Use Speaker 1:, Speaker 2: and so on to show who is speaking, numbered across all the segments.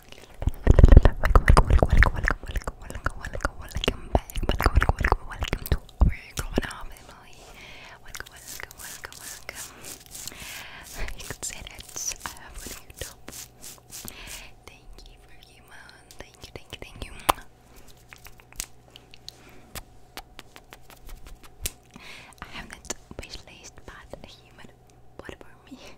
Speaker 1: Welcome, welcome, welcome, welcome, welcome, welcome, welcome, welcome back. Welcome, welcome, welcome, welcome to our growing up family. Welcome, welcome, welcome, welcome. You can say that I have a new Thank you for you, man. Thank you, thank you, thank you. I haven't wishlist, but a human. What about me?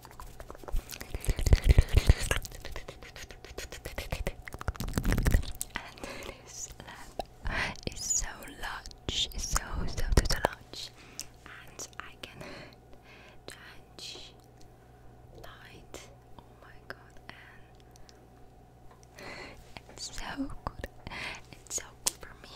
Speaker 1: And this lab is so large, it's so, so, so large. And I can change light. Oh my god, and it's so good. It's so good for me.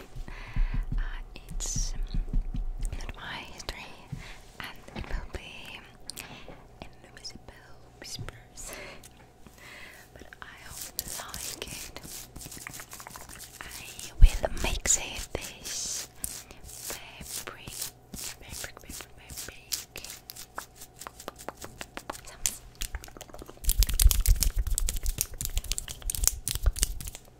Speaker 1: Uh, it's my history, and it will be invisible whispers. but I hope you like it. I will mix
Speaker 2: it this fabric, fabric, fabric, fabric.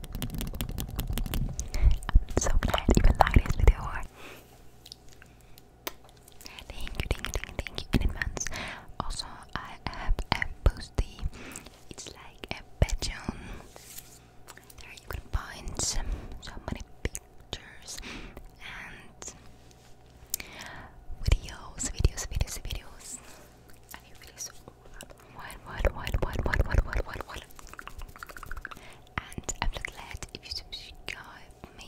Speaker 2: I'm so glad you like this video. Thank you, thank you, you, thank you in Also, I have a boosty. It's like a bedroom. There you can find so many pictures and
Speaker 1: videos, videos, videos, videos. I feel so what, And I'm so glad you subscribe me.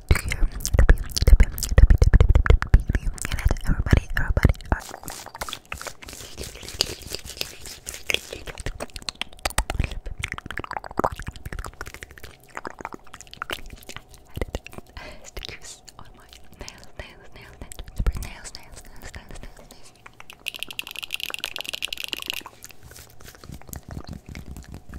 Speaker 1: everybody, everybody. Stickers nails, nails, nails, nails, nails, nails, nails, nails, nails.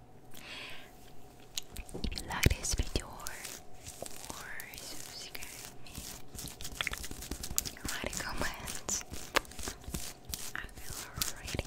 Speaker 1: like this video or subscribe write a I will read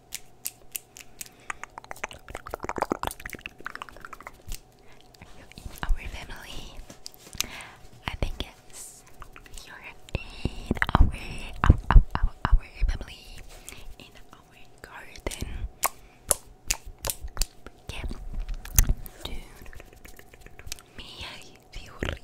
Speaker 1: in our family. I think yes, you're in our our, our, family, in our garden. Yeah. Dude. Mia Fiori.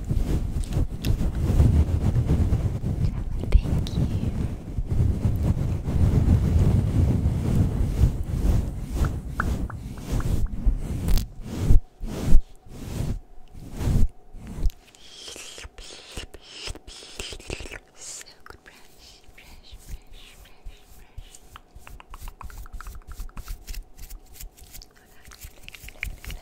Speaker 1: Thank you. So good brush, brush, brush, brush, brush. Relax, relax, relax, relax.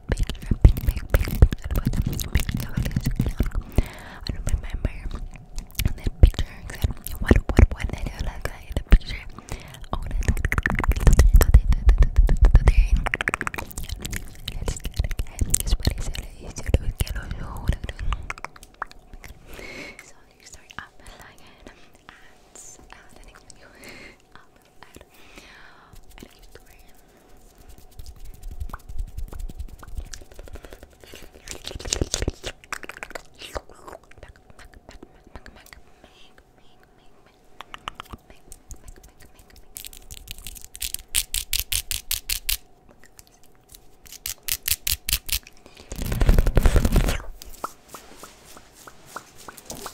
Speaker 1: I do remember the picture what what what that picture. Oh let's get Sorry, sorry, I'm like, and, uh, little ad. And I used to wear him. Make,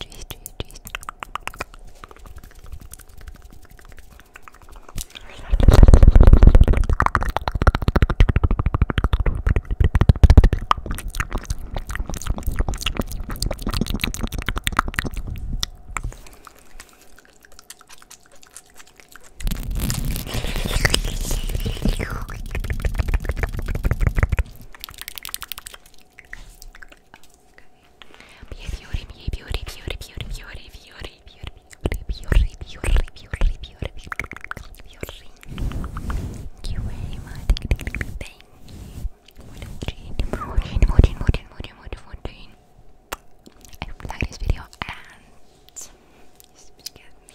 Speaker 1: trees, trees, trees. Okay. Beauty, beauty, beauty, beauty, beauty, beauty, beauty, beauty, beauty, beauty, beauty, beauty, beauty. Thank you very much. Thank you. Fourteen, fourteen, fourteen, fourteen, fourteen, fourteen. I hope you like this video and just get me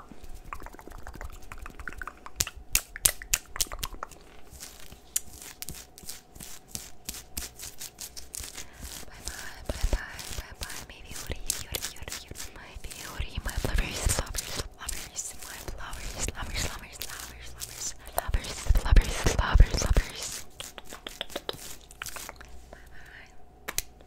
Speaker 1: bye, bye, bye, bye, maybe Ori, Ori, Ori, Ori, my beauty, my lovers, lovers, lovers, my lovers, lovers, lovers, lovers, lovers, lovers, lovers, lovers, lovers. Bye bye.